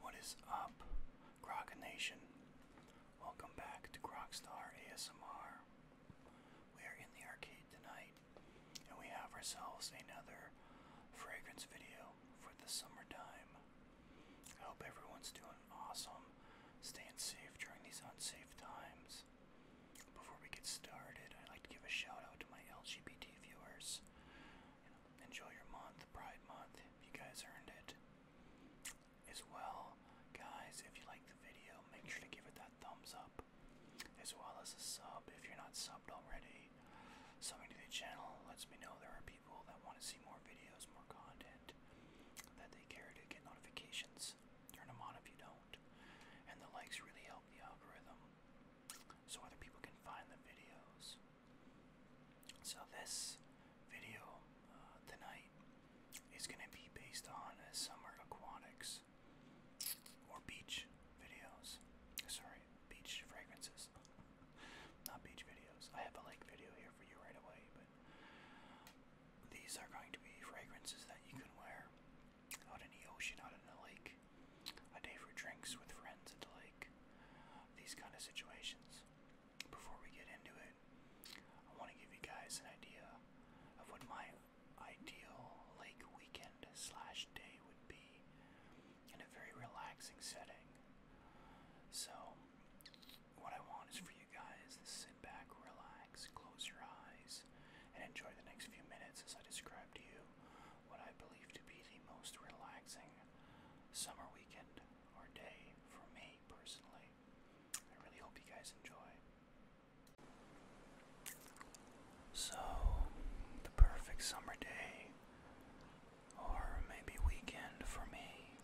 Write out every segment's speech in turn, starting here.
What is up, Grog Nation? Welcome back to Grogstar ASMR. We are in the arcade tonight, and we have ourselves another fragrance video for the summertime. I hope everyone's doing awesome, staying safe during these unsafe times. Before we get started, I'd like to give a shout out to my LGBT viewers. enjoy your month, Pride Month. You guys earned it. As well, guys, if you like the video, make sure to give it that thumbs up. As well as a sub if you're not subbed already. Subbing to the channel lets me know there are people that want to see more videos, more content, that they care to get notifications Turn them on if you don't. And the likes really help the algorithm so other people can find the videos. So, this video uh, tonight is going to be based on summer aquatics or beach videos. Sorry, beach fragrances. Not beach videos. I have a lake video here for you right away, but these are going to be fragrances that you can wear out in the ocean, out in the lake, a day for drinks with friends at the lake, these kind of situations. Before we get into it, I want to give you guys an idea of what my ideal lake weekend slash day would be in a very relaxing setting. So, what I want is for you guys to sit back, relax, close your eyes and enjoy the next few minutes as I describe to you what I believe to be the most relaxing summer weekend or day for me personally. I really hope you guys enjoy. So, the perfect summer day or maybe weekend for me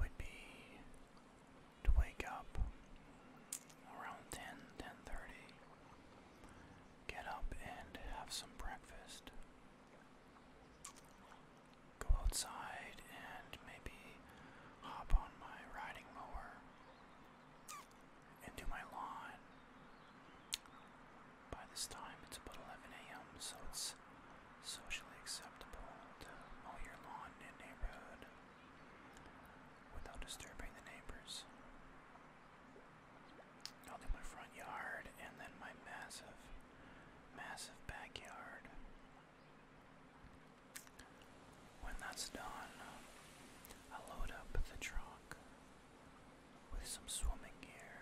would be to wake up around 10, get up and have some breakfast, go outside and maybe hop on my riding mower and do my lawn. By this time it's about 11 a.m. so it's socially acceptable to mow your lawn in a neighborhood without disturbing the neighbors. I'll do my front yard and then my massive, massive backyard. When that's done, I'll load up the truck with some swimming gear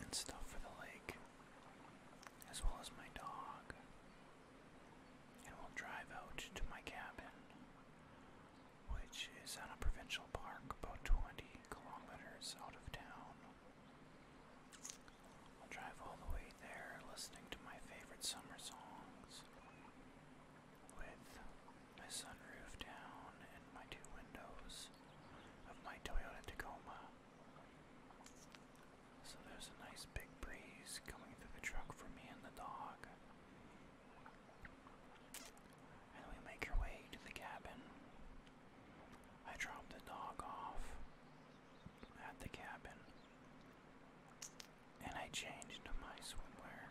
and stuff for the lake, as well as my dog and we'll drive out to my cabin, which is on a provincial park about 20 kilometers out of town. I'll drive all the way there listening to my favorite summer songs with my sunroof down and my two windows of my Toyota Tacoma. So there's a nice big breeze coming through the truck for me and the dog. And we make our way to the cabin. I drop the dog off at the cabin. And I change to my swimwear.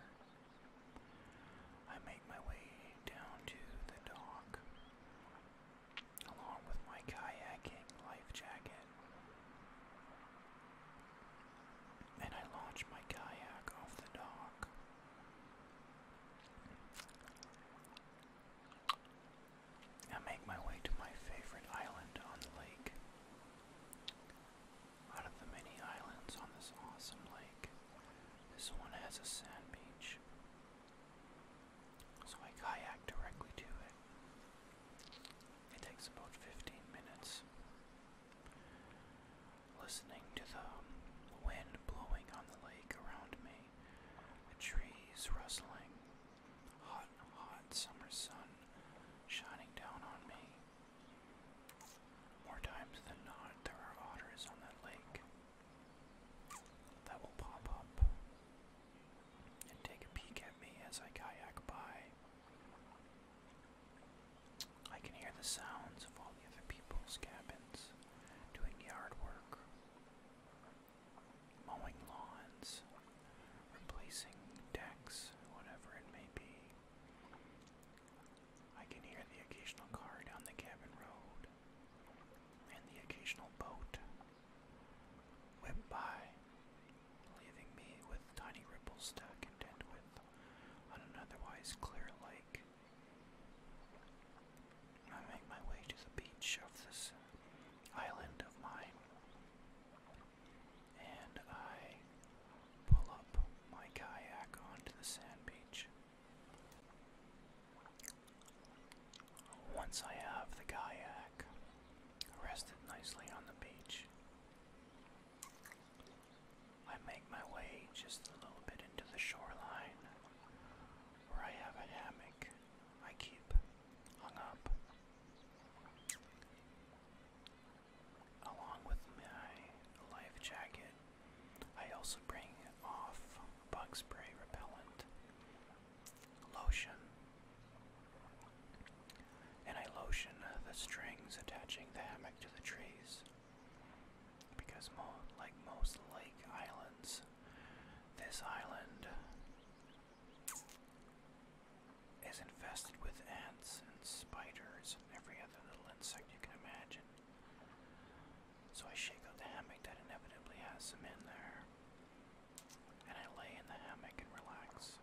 I make my way down to the dock, along with my kayaking life jacket and I launch my kayak off the dock. I make my way to my favorite island on the lake. Out of the many islands on this awesome lake, this one has a sand beach. So I kayak directly to it. It takes about 15 minutes. Listening to the wind blowing on the lake around me, the trees rustling, hot, hot summer sun shining down on me. More times than not, there are otters on that lake that will pop up and take a peek at me as I kayak by. I can hear the sounds of all the other people's cabins doing yard work, mowing lawns, replacing decks, whatever it may be. I can hear the occasional car down the cabin road and the occasional boat whip by leaving me with tiny ripples to contend with on an otherwise clear lake. I make my way to the beach of this island of mine, and I pull up my kayak onto the sand beach. Once I have the kayak rested nicely on the beach, I make my way just a little bit into the shoreline where I have a hammock I keep hung up. Along with my life jacket, I also bring off bug spray repellent, lotion, and I lotion the strings attaching the hammock to the trees. Because, like most lake islands, this island is infested with ants and spiders and every other little insect you can imagine. So I shake out the hammock that inevitably has some in there, and I lay in the hammock and relax.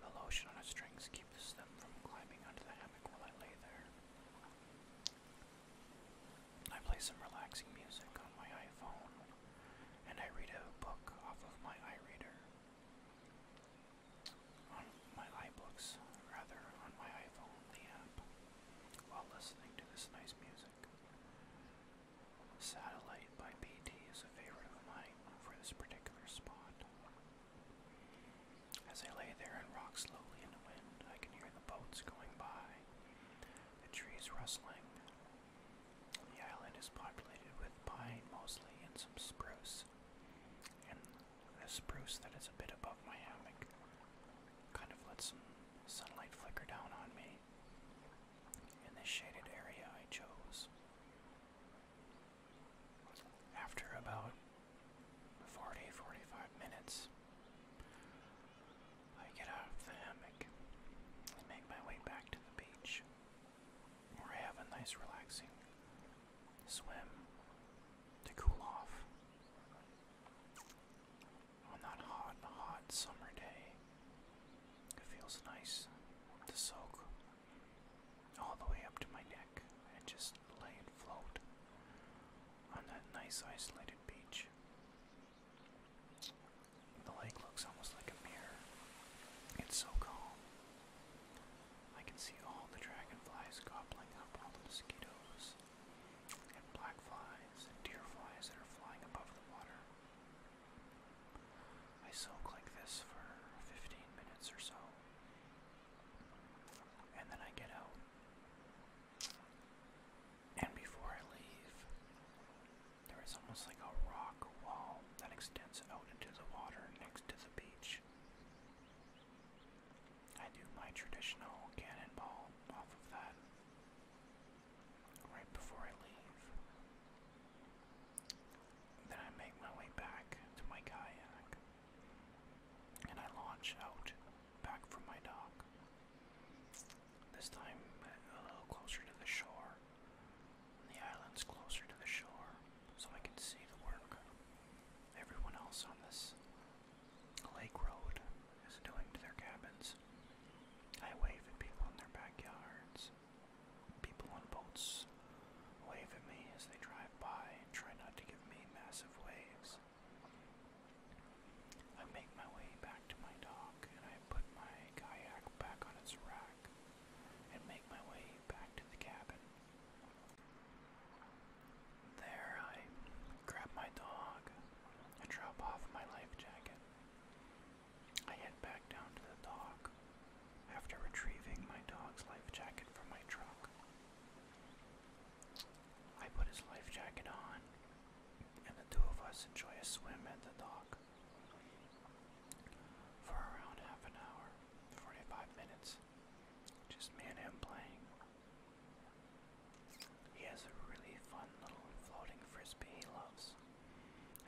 The lotion on the strings keeps them from climbing onto the hammock while I lay there. I play some relaxing music on my iPhone, and I read a book off of my iReader. On my iBooks, rather, on my iPhone, the app, while listening to this nice music. Satellite by BT is a favorite of mine for this particular spot. As I lay there and rock slowly in the wind, I can hear the boats going by, the trees rustling. The island is populated with pine mostly and some spruce, and the spruce that is a bit above my hammock kind of lets some sunlight flicker down on me in this shaded area I chose. After about 40 45 minutes, I get out of the hammock and make my way back to the beach where I have a nice relaxing swim to cool off on that hot, hot summer day. It feels nice to soak all the way up to my neck and just lay and float on that nice isolated beach. The lake looks almost like a mirror. It's so calm. I can see all the dragonflies gobbling up all the mosquitoes, and black flies and deer flies that are flying above the water. I soak like this for 15 minutes or so, and then I get out. And before I leave, there is almost like a rock wall that extends out into the water next to the beach. I do my traditional cannonball off of that right before I leave. Then I make my way back to my kayak and I launch out back from my dock. This time uh, a little closer to the shore. The island's closer to the shore, so I can see the work everyone else on this lake road is doing to their cabins. I wave at people in their backyards, people on boats Wave at me as they drive by and try not to give me massive waves. I make my way back to my dock and I put my kayak back on its rack and make my way back to the cabin. There, I grab my dog and drop off my life jacket. I head back down to the dock after retrieving my dog's life jacket from my truck. I put his life jacket on, and the two of us enjoy a swim at the dock. For around half an hour, 45 minutes, just me and him playing. He has a really fun little floating frisbee he loves,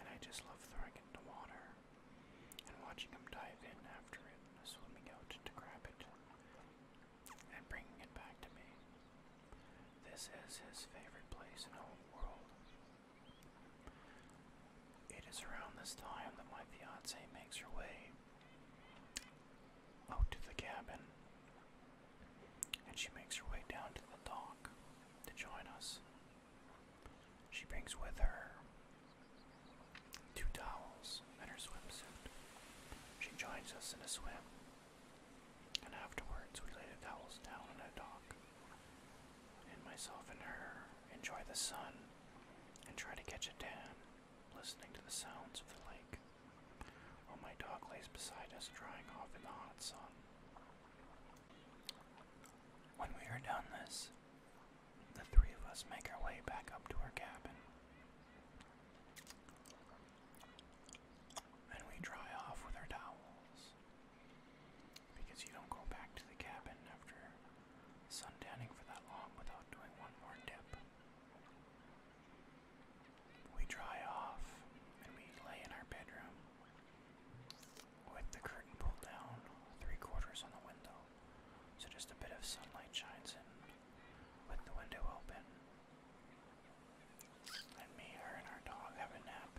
and I just love throwing it in the water and watching him dive in after it, swimming out to grab it, and bringing it back to me. This is his favorite place in the whole world. It is around this time that my fiancée makes her way out to the cabin, and she makes her way down to the dock to join us. She brings with her two towels, and her swimsuit. She joins us in a swim, and afterwards we lay the towels down on a dock. And myself and her enjoy the sun and try to catch a tan, listening to the sounds of the lake, while my dog lays beside us, drying off in the hot sun. When we are done this, the three of us make our way back up to our cabin. And we dry off with our towels. Because you don't go back to the cabin after suntanning for that long without doing one more dip. We dry off and we lay in our bedroom with the curtain pulled down, three quarters on the window so just a bit of sunlight shines in with the window open. And me, her, and our dog have a nap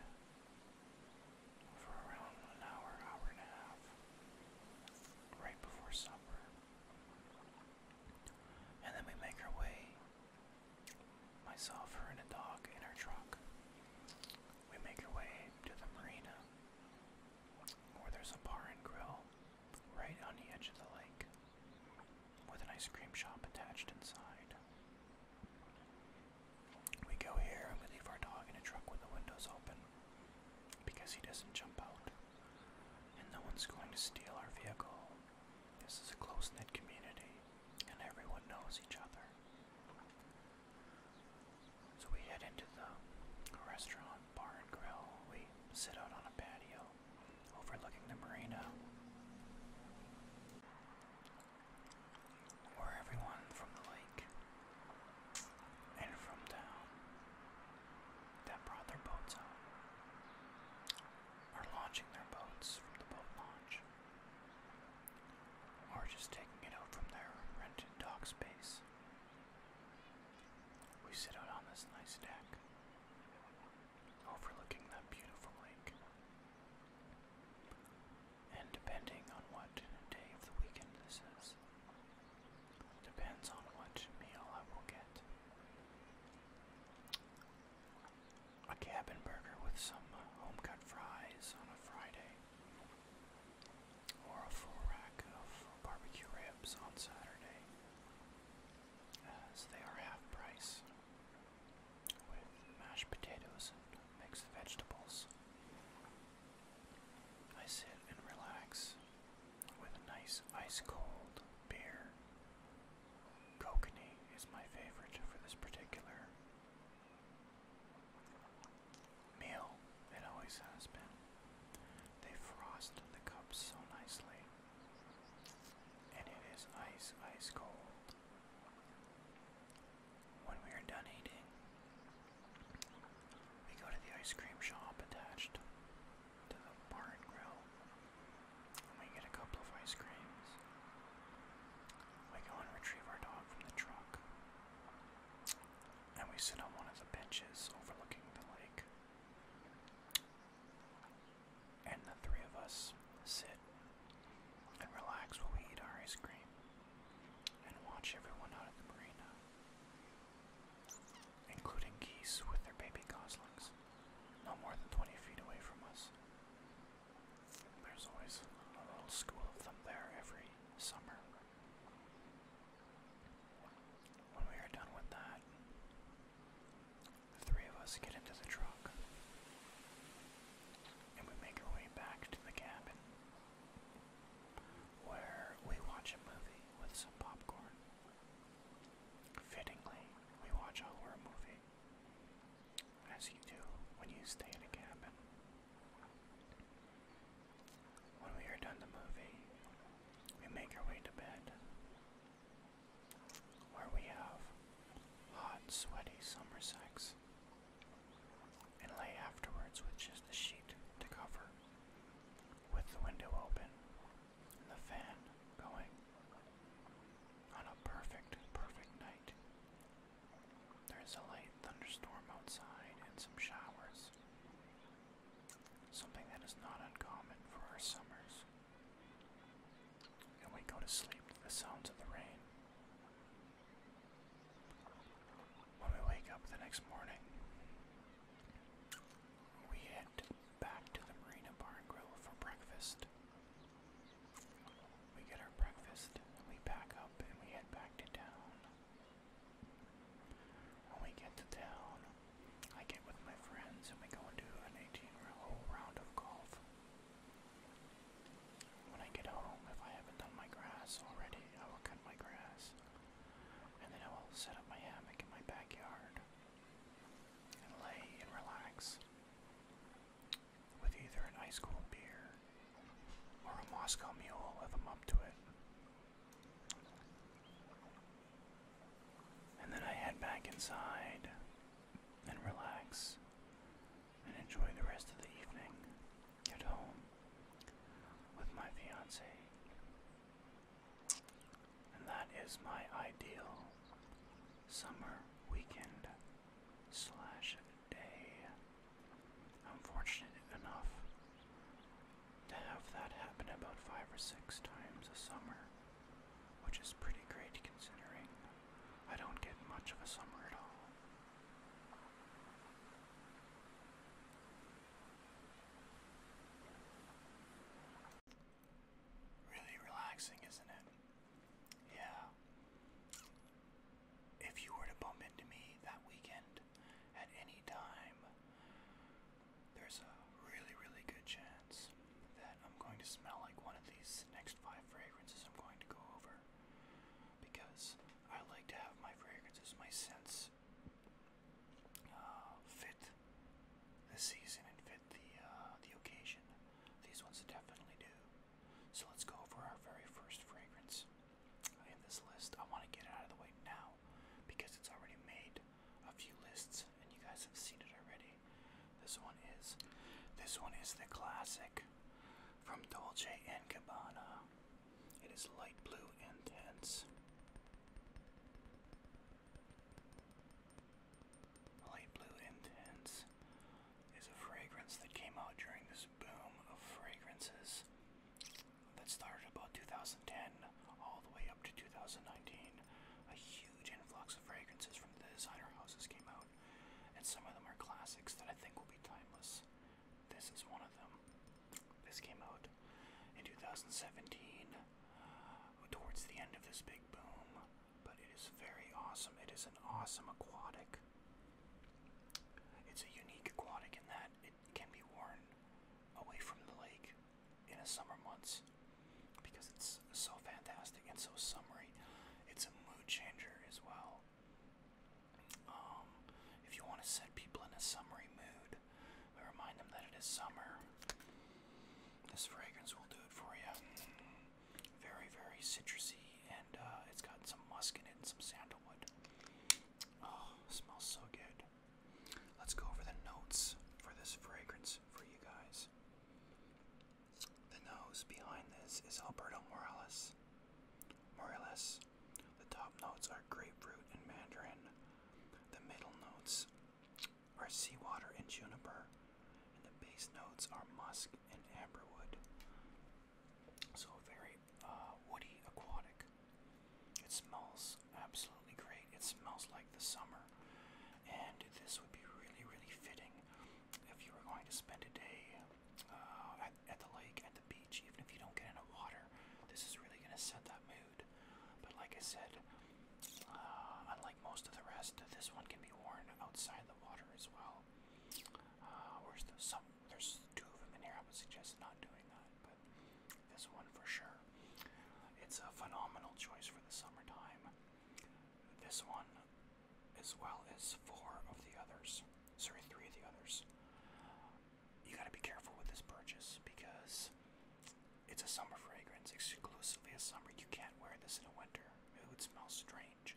for around an hour, hour and a half, right before supper. And then we make our way, myself, her, and a dog in our truck. We make our way to the marina where there's a bar and grill right on the edge of the lake, with an ice cream shop attached inside. We go here and we leave our dog in a truck with the windows open because he doesn't jump out. And no one's going to steal our vehicle. This is a close knit community and everyone knows each other. So we head into the restaurant bar and grill. We sit out on a patio overlooking the marina where everyone from the lake and from town that brought their boats out are launching their boats from the boat launch or just taking it out from their rented dock space we sit out on this nice deck, overlooking that beautiful lake. And depending on what day of the weekend this is, depends on what meal I will get. A cabin burger with some home cut fries on a Friday, or a full rack of barbecue ribs on Saturday. Uh, they are half price with mashed potatoes and mixed vegetables. I sit and relax with a nice ice cold beer. Kokanee is my favorite for this particular meal. It always has been. They frost the cups so nicely. And it is ice, ice cold. When we are done eating, we go to the ice cream shop attached to the bar and grill. And we get a couple of ice creams. We go and retrieve our dog from the truck. And we sit on one of the benches overlooking the lake. And the three of us sit and relax while we eat our ice cream and watch everyone out at the marina, including geese with their baby goslings, no more than 20 feet away from us. There's always a little school of them there every summer. When we are done with that, the three of us get into the truck and we make our way back to the cabin where we watch a movie with some popcorn. Fittingly, we watch a horror movie, as you do when you stay in a cabin. When we are done the movie, we make our way to bed where we have hot, sweaty summer sex and lay afterwards with just a sheet to cover, with the window open and the fan going on a perfect, perfect night. There's a light thunderstorm outside and some showers something that is not uncommon for our summers. And we go to sleep to the sounds of the rain. When we wake up the next morning, we head back to the Marina Bar and Grill for breakfast. We get our breakfast, and we pack up and we head back to town. When we get to town, I get with my friends and we go and do an 18-hole round of golf. When I get home, if I haven't done my grass already, I will cut my grass. And then I will set up my hammock in my backyard and lay and relax with either an ice cold beer or a Moscow mule if I'm up to it. And then I head back inside and relax and enjoy the rest of the evening at home with my fiance. And that is my ideal summer weekend slash day. i enough to have that happen about five or six times a summer, which is pretty great considering I don't get much of a summer at all. Really relaxing, isn't it? Yeah. If you were to bump into me that weekend at any time, there's a really, really good chance that I'm going to smell like one of these next five fragrances I'm going to go over because I like to have my fragrances, my scents uh, fit the season and fit the, uh, the occasion. These ones definitely do. So let's go over our very first fragrance in this list. I want to get it out of the way now because it's already made a few lists, and you guys have seen it already. This one is, this one is the classic from Dolce and Gabbana. It is light blue intense. Light blue intense is a fragrance that came out during this boom of fragrances that started about 2010 all the way up to 2019 a huge influx of fragrances from the designer houses came out, and some of them are classics that I think will be timeless. This is one of them. This came out in 2017, towards the end of this big boom, but it is very awesome. It is an awesome aquatic. It's a unique aquatic in that it can be worn away from the lake in the summer months because it's so fantastic and so summery. It's a mood changer as well. Um, if you want to set people in a summery mood, remind them that it is summer. This fragrance will do it for you. Very, very citrusy, and uh, it's got some musk in it and some sandalwood. Oh, smells so good. Let's go over the notes for this fragrance for you guys. The nose behind this is Alberto Morales. Morales. The top notes are grapefruit and mandarin. The middle notes are seawater and juniper. And the base notes are musk and amberwood. So very uh, woody, aquatic. It smells absolutely great. It smells like the summer and this would be really, really fitting if you were going to spend a day uh, at, at the lake, at the beach, even if you don't get in the water. This is really going to set that mood. But like I said, uh, unlike most of the rest, this one can be worn outside the water as well. Uh, whereas the, some, there's two of them in here. I would suggest not doing that, but this one for sure. It's a phenomenal choice for the summertime this one, as well as four of the others. Sorry, three of the others. You gotta be careful with this purchase because it's a summer fragrance, exclusively a summer. You can't wear this in a winter. It would smell strange.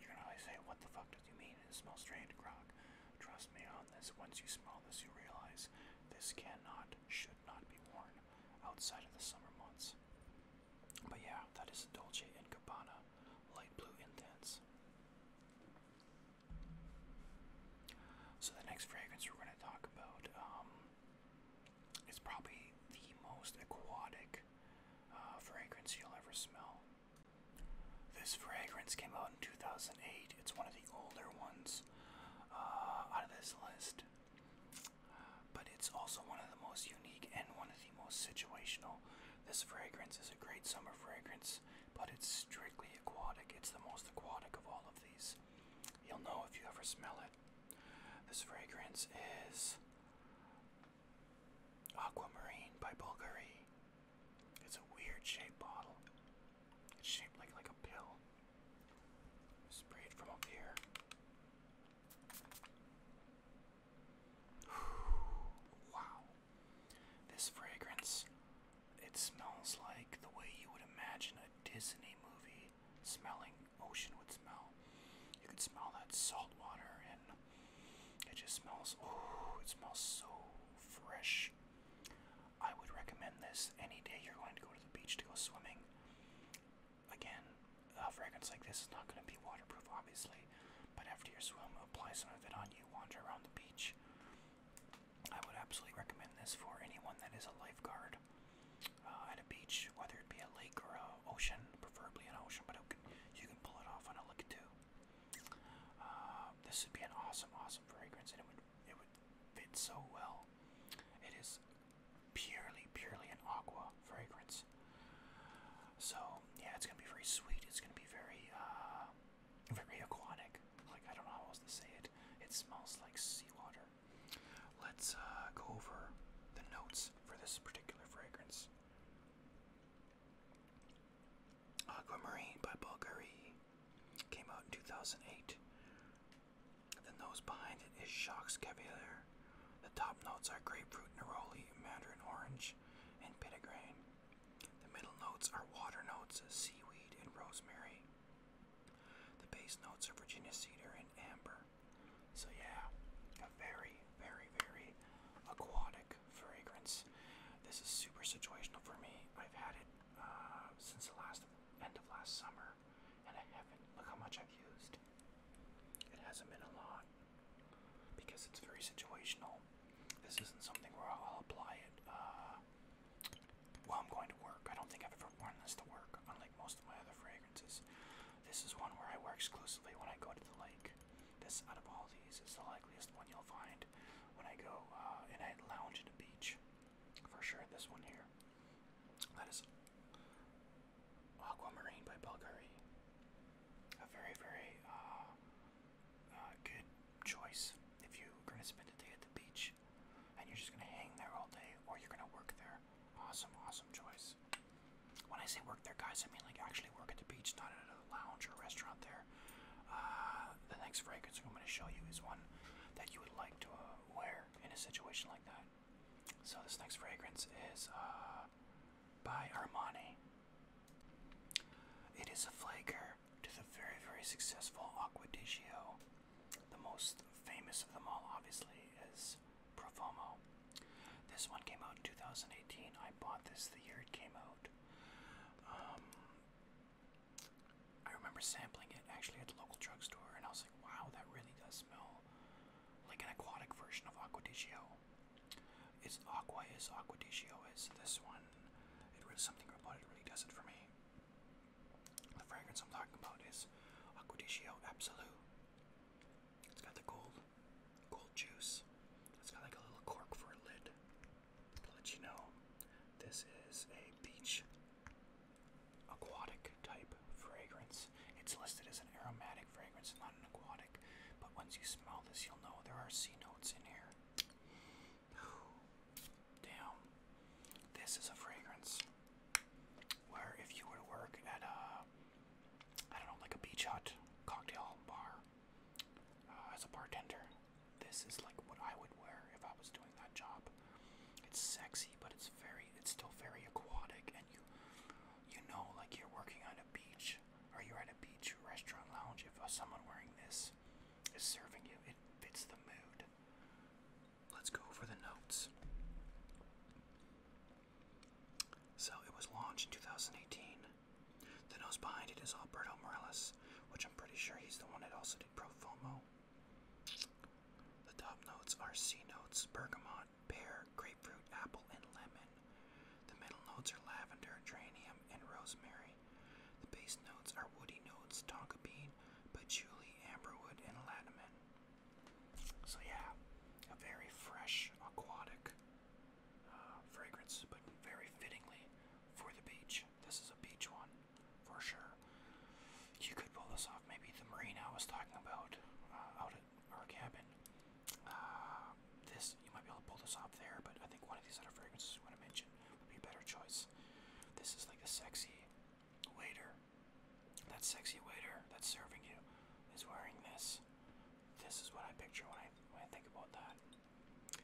You're gonna always say, What the fuck does you mean? It smells strange, Grog. Trust me on this. Once you smell this, you realize this cannot, should not be worn outside of the summer months. But yeah, that is a Dolce & Gabbana light blue intense. So the next fragrance we're going to talk about um, is probably the most aquatic uh, fragrance you'll ever smell. This fragrance came out in 2008. It's one of the older ones uh, out of this list. But it's also one of the most unique and one of the most situational. This fragrance is a great summer fragrance, but it's strictly aquatic. It's the most aquatic of all of these. You'll know if you ever smell it. This fragrance is Aquamarine by Bulgari. It's a weird shaped bottle. shaped like like a pill. Spray it from up here. wow. This fragrance, it smells like the way you would imagine a Disney movie smelling ocean would smell. You can smell that salt water and it just smells oh it smells so fresh. I would recommend this any day you're going to go to the beach to go swimming. Again, a uh, fragrance like this is not going to be waterproof, obviously, but after your swim, apply some of it on you, wander around the beach. I would absolutely recommend this for anyone that is a lifeguard uh, at a beach, whether it be a lake or an ocean, preferably an ocean, but can, you can pull it off on a lake too. Uh, this would be an awesome, awesome fragrance, and it would it would fit so well. It is purely, purely an aqua fragrance. So yeah, it's gonna be very sweet. It's gonna be very, uh, very aquatic. Like I don't know how else to say it. It smells like seawater. Let's uh, go over the notes for this particular fragrance. Aquamarine by Bulgari came out in 2008. The nose behind it is Jacques Cavalier. The top notes are grapefruit, neroli, mandarin orange, and pittigrain. The middle notes are water notes, seaweed, and rosemary. The base notes are Virginia cedar and amber. So, yeah, a very, very, very aquatic fragrance. This is super situational for me. I've had it uh, since the last end of last summer and I haven't. Look how much I've used. It hasn't been a lot because it's very situational. This isn't something where I'll apply it uh, while I'm going to work. I don't think I've ever worn this to work, unlike most of my other fragrances. This is one where I wear exclusively when I go to the lake. This, out of all these, is the likeliest one you'll find when I go uh, and I lounge at the beach. For sure, this one here. That is Aquamarine by Bulgari. A very, very uh, uh good choice if you're going to spend the day at the beach and you're just going to hang there all day or you're going to work there. Awesome, awesome choice. When I say work there, guys, I mean like actually work at the beach, not at a lounge or restaurant there. Uh, the next fragrance I'm going to show you is one that you would like to uh, wear in a situation like that. So this next fragrance is uh, by Armani. It is a flaker to the very, very successful Acquadigio. The most famous of them all, obviously, is Profumo. This one came out in 2018. I bought this the year it came out. Um, I remember sampling it actually at the local drugstore, and I was like, wow, that really does smell like an aquatic version of Aqua It's Aqua is Aqua di is this one. It really something about it really does it for me. The fragrance I'm talking about is Aqua Absolute. It's got the gold, gold juice. It's got like a little cork for a lid. To let you know, this is a beach aquatic type fragrance. It's listed as an aromatic fragrance, not an aquatic. But once you smell this, you'll know there are sea notes in here. Damn. This is a fragrance where if you were to work at a, I don't know, like a beach hut cocktail bar uh, as a bartender, this is like what I would wear if I was doing that job. It's sexy, but it's very, it's still very aquatic, and you know, like you're working on a beach or you're at a beach restaurant lounge if uh, someone wearing this is serving you. It fits the mood. Let's go over the notes. So it was launched in 2018. The nose behind it is Alberto Morales, which I'm pretty sure he's the one that also did Pro Fomo. The top notes are C notes, bergamot, pear, grapefruit, apple, and lemon. The middle notes are lavender, geranium, and rosemary. The base notes are woody notes, tonka bean, patchouli, amberwood, and lattimen. So yeah, a very fresh, aquatic uh, fragrance, but very fittingly for the beach. This is a beach one, for sure. You could pull this off. Maybe the marine I was talking about uh, out it, our cabin. Uh, this, you might be able to pull this off there, but I think one of these other fragrances you want to mention would be a better choice. This is like a sexy waiter. That sexy waiter that's serving you is wearing this. This is what I picture when I, when I think about that.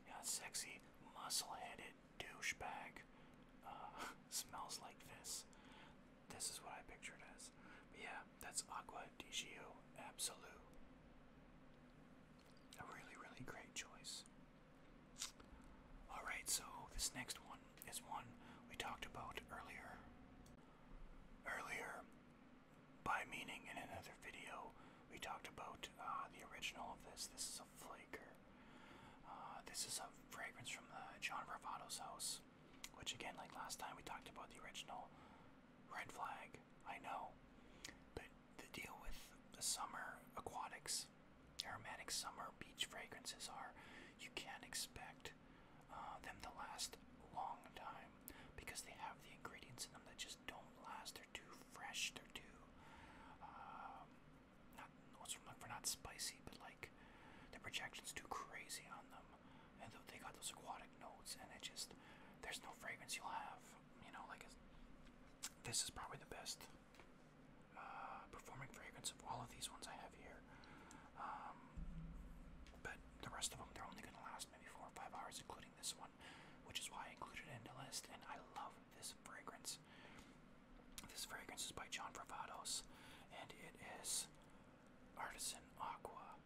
Yeah, sexy, muscle-headed douchebag uh, smells like this. This is what I pictured as. But yeah, that's Aqua Di Gio Absolute. A really, really great choice. Alright, so this next one is one we talked about earlier. Earlier, by meaning in another video, we talked about uh, the original of this. This is a flaker. Uh, this is a fragrance from the John Bravado's house which again, like last time, we talked about the original red flag. I know, but the deal with the summer aquatics, aromatic summer beach fragrances are you can't expect uh, them to last a long time because they have the ingredients in them that just don't last. They're too fresh. They're too um, not. for not spicy, but like the projection's too crazy on them and they got those aquatic notes, and it just there's no fragrance you'll have. You know, like this is probably the best uh, performing fragrance of all of these ones I have here. Um, but the rest of them, they're only going to last maybe four or five hours, including this one, which is why I included it in the list. And I love this fragrance. This fragrance is by John Favados, and it is Artisan Aqua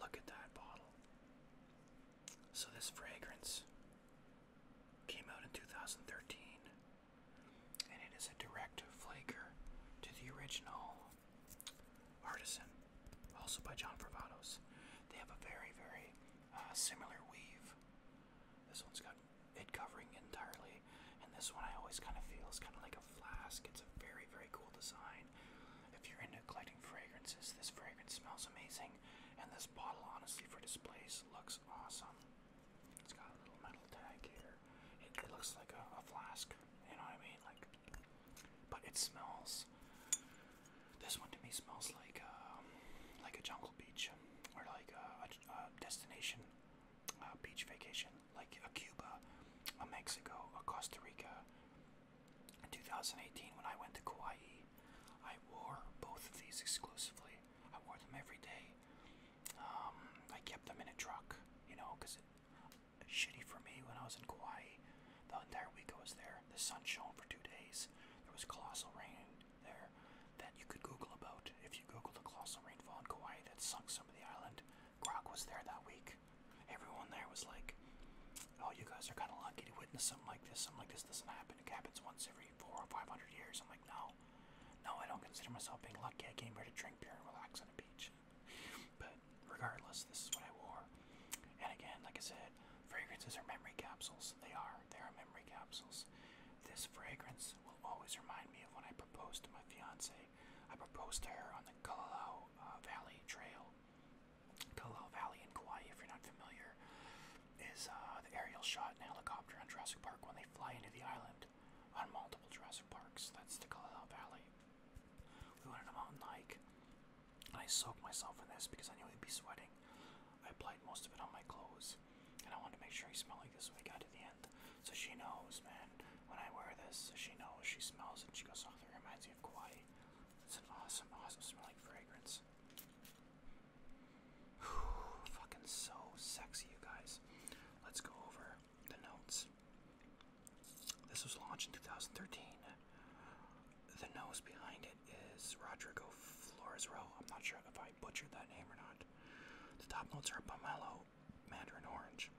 Look at that bottle. So, this fragrance came out in 2013, and it is a direct flaker to the original Artisan, also by John Bravados. They have a very, very uh, similar weave. This one's got it covering entirely, and this one I always kind of feel is kind of like a flask. It's a very, very cool design. If you're into collecting fragrances, this fragrance smells amazing. And this bottle, honestly, for displays, looks awesome. It's got a little metal tag here. It, looks like a, flask. You know what I mean? Like, but it smells. This one to me smells like um, like a jungle beach or like a, destination uh, beach vacation like a Cuba, a Mexico, a Costa Rica. In 2018, when I went to Kauai, I wore both of these exclusively. I wore them every day. Um, I kept them in a truck, you know, because it shitty for me when I was in Kauai. The entire week I was there. The sun shone for two days. There was colossal rain there that you could Google about. If you Google the colossal rainfall in Kauai that sunk some of the island, Grog was there that week. Everyone there was like, "Oh, you guys are kind of lucky to witness something like this. Something like this doesn't happen. It happens once every four or five hundred years." I'm like, "No, no, I don't consider myself being lucky. I came here to drink beer and relax on a beach." but regardless, this is what I wore. And again, like I said, fragrances are memory capsules. They are. They are memory capsules. This fragrance will always remind me of when I proposed to my fiance I proposed to her on the Kalalau uh, Valley Trail. Kalalau Valley in Kauai, if you're not familiar, is uh, the aerial shot in helicopter on Jurassic Park when they fly into the island on multiple Jurassic Parks. That's the Kalalau Valley. We went on a mountain hike, and I soaked myself in this because I knew he would be sweating. I applied most of it on my clothes, and I wanted to make sure he smelled like this when we got to the end. So she knows, man. When I wear this, she knows, she smells it, she goes, oh, that reminds me of Kauai. It's an awesome, awesome smelling fragrance. fucking so sexy, you guys. Let's go over the notes. This was launched in 2013. The nose behind it is Rodrigo Floresro. I'm not sure if I butchered that name or not. The top notes are pomelo, mandarin orange,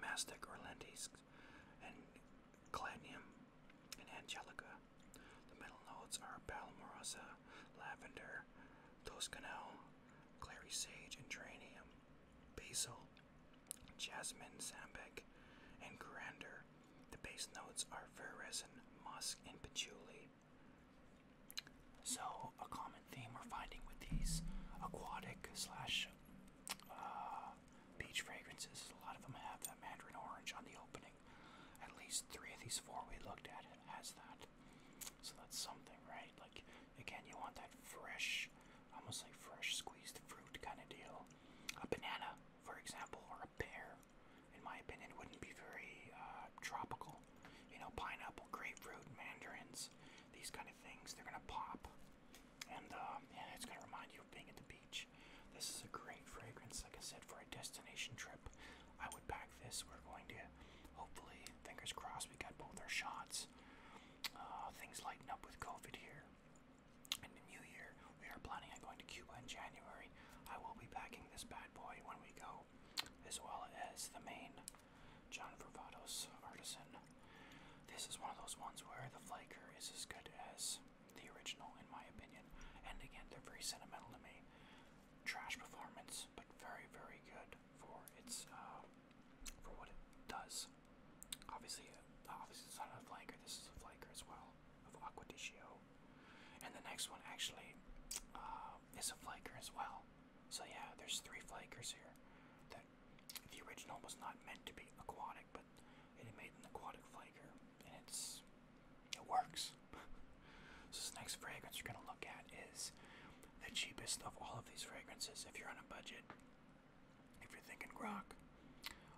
mastic or lentis, and Cladium and Angelica. The middle notes are Palmarosa, Lavender, Toscanelle, Clary Sage, and Tranium, Basil, Jasmine, Sambec, and Grander. The base notes are fir resin, musk, and patchouli. So, a common theme we're finding with these aquatic slash uh, Beach fragrances. A lot of them have that mandarin orange on the opening. At least three of these four we looked at has that. So that's something, right? Like, again, you want that fresh, almost like fresh squeezed fruit kind of deal. A banana, for example, or a pear, in my opinion, wouldn't be very uh, tropical. You know, pineapple, grapefruit, mandarins, these kind of things, they're going to pop. And um, yeah, it's gonna remind you of being at the beach. This is a great fragrance, like I said, for a destination trip. I would pack this. We're going to, hopefully, fingers crossed, we got both our shots. Uh, things lighten up with COVID here. In the new year, we are planning on going to Cuba in January. I will be packing this bad boy when we go, as well as the main John Varvatos Artisan. This is one of those ones where the flaker is as good as the original, in my opinion. And again, they're very sentimental to me. Trash performance, but very, very good for its uh, for what it does. Obviously, uh, obviously it's not a flanker. This is a flaker as well of Aquadiccio. And the next one actually uh, is a flaker as well. So yeah, there's three flakers here the original was not meant to be aquatic, but it made an aquatic flavor, and it's it works. this next fragrance you're gonna look at is the cheapest of all of these fragrances. If you're on a budget, if you're thinking rock,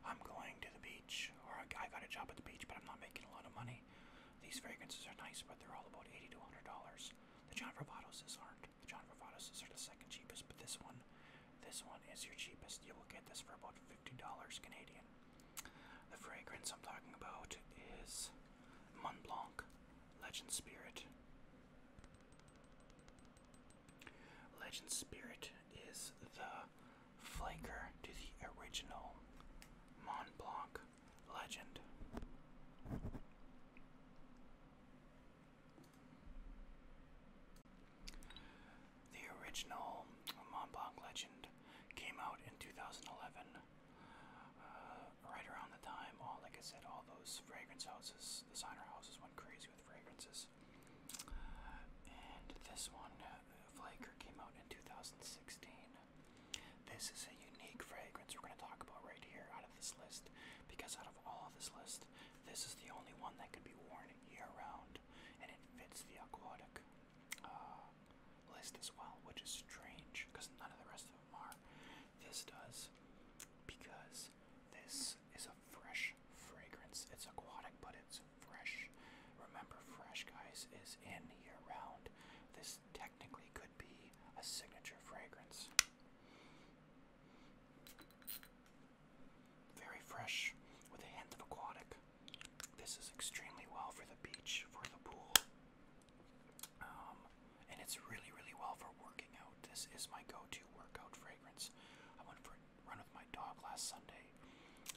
I'm going to the beach, or I got a job at the beach, but I'm not making a lot of money. These fragrances are nice, but they're all about eighty to hundred dollars. The John Varvatos' aren't. The John Varvatos' are the second cheapest, but this one this one is your cheapest. You will get this for about $50 Canadian. The fragrance I'm talking about is Mont Blanc Legend Spirit. Legend Spirit is the flanker to the original Mont Blanc Legend. The original Mont Blanc Legend came out in 2011, uh, right around the time, all like I said, all those fragrance houses, designer houses went crazy with fragrances. And this one, uh, Flaker, came out in 2016. This is a unique fragrance we're going to talk about right here out of this list because out of all this list, this is the only one that could be worn year-round, and it fits the aquatic uh, list as well, which is strange because none of the rest of them are. This does because this is a fresh fragrance. It's aquatic, but it's fresh. Remember, fresh guys is in year-round. This technically could be a signature fragrance. Very fresh with a hint of aquatic. This is extremely well for the beach, for the pool. Um, and it's really, really well for working out. This is my go-to workout fragrance. I went for a run with my dog last Sunday,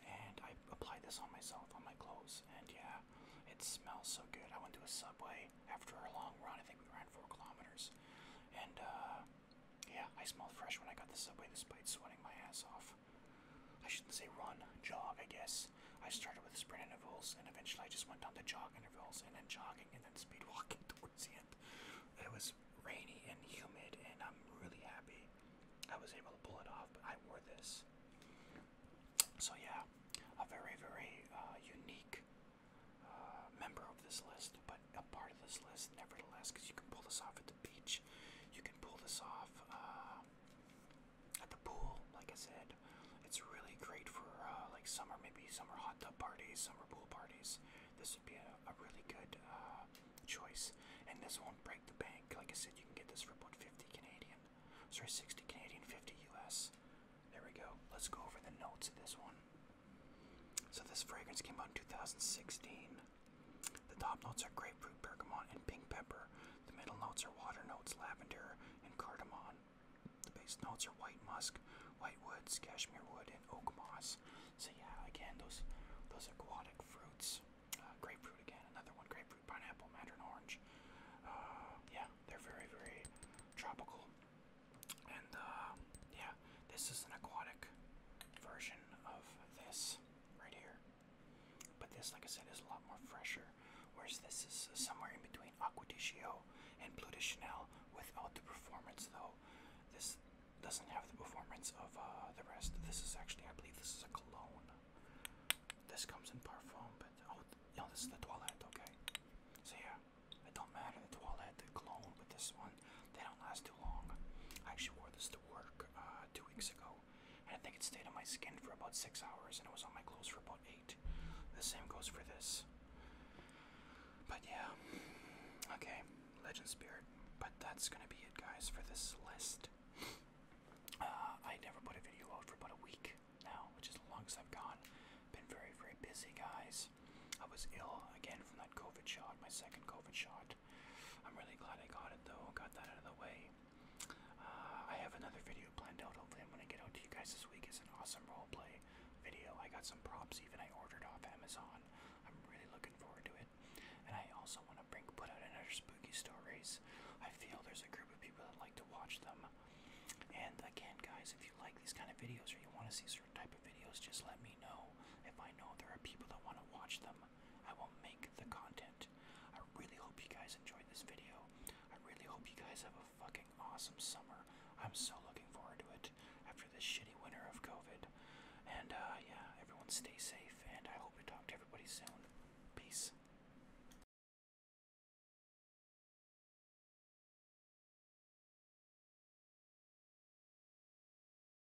and I applied this on myself, on my clothes, and yeah, it smells so good. I went to a Subway after a long run. I think we ran four kilometers, and uh, yeah, I smelled fresh when I got the subway despite sweating my ass off. I shouldn't say run, jog, I guess. I started with sprint intervals and eventually I just went down to jog intervals and then jogging and then speed walking towards the end. It was rainy and humid and I'm really happy I was able to pull it off, but I wore this. So, yeah, a very, very uh, unique uh, member of this list but a part of this list, nevertheless, because you can pull this off at the beach, you can pull this off uh, at the pool. Like I said, it's really great for uh, like summer, maybe summer hot tub parties, summer pool parties. This would be a, really good uh, choice, and this won't break the bank. Like I said, you can get this for about 50 Canadian, sorry, 60 Canadian, 50 US. There we go. Let's go over the notes of this one. So this fragrance came out in 2016. The top notes are grapefruit, bergamot, and pink pepper. The middle notes are water notes, lavender, and cardamom. The base notes are white musk, white woods, cashmere wood, and oak moss. So yeah, again, those those aquatic fruits. Uh, grapefruit again, another one. Grapefruit, pineapple, mandarin orange. Uh, yeah, they're very, very tropical. And uh, yeah, this is an aquatic version of this right here. But this, like I said, is a lot more fresher. Whereas this is somewhere in between Aqua and Blue de Chanel without the performance, though. This doesn't have the performance of uh, the rest. This is actually, I believe, this is a cologne. This comes in parfum, but oh, no, this is the toilet. okay? So yeah, it don't matter the toilette, the cologne, but this one they don't last too long. I actually wore this to work uh, two weeks ago, and I think it stayed on my skin for about six hours, and it was on my clothes for about eight. The same goes for this. But yeah, okay, Legend Spirit. But that's gonna be it, guys, for this list. Uh, I never put a video out for about a week now, which is long longest I've gone. Been very, very busy, guys. I was ill again from that COVID shot, my second COVID shot. I'm really glad I got it though, got that out of the way. Uh, I have another video planned out. Hopefully, I'm gonna get out to you guys this week. It's an awesome roleplay video. I got some props even I ordered off Amazon. I'm really looking forward to it. And I also want to bring put out another spooky stories. I feel there's a group of people that like to watch them. And again, guys, if you like these kind of videos or you want to see certain type of videos, just let me know. If I know there are people that want to watch them, I will make the content. I really hope you guys enjoyed this video. I really hope you guys have a fucking awesome summer. I'm so looking forward to it after this shitty winter of COVID. And uh, yeah, everyone stay safe, and I hope to talk to everybody soon. Peace.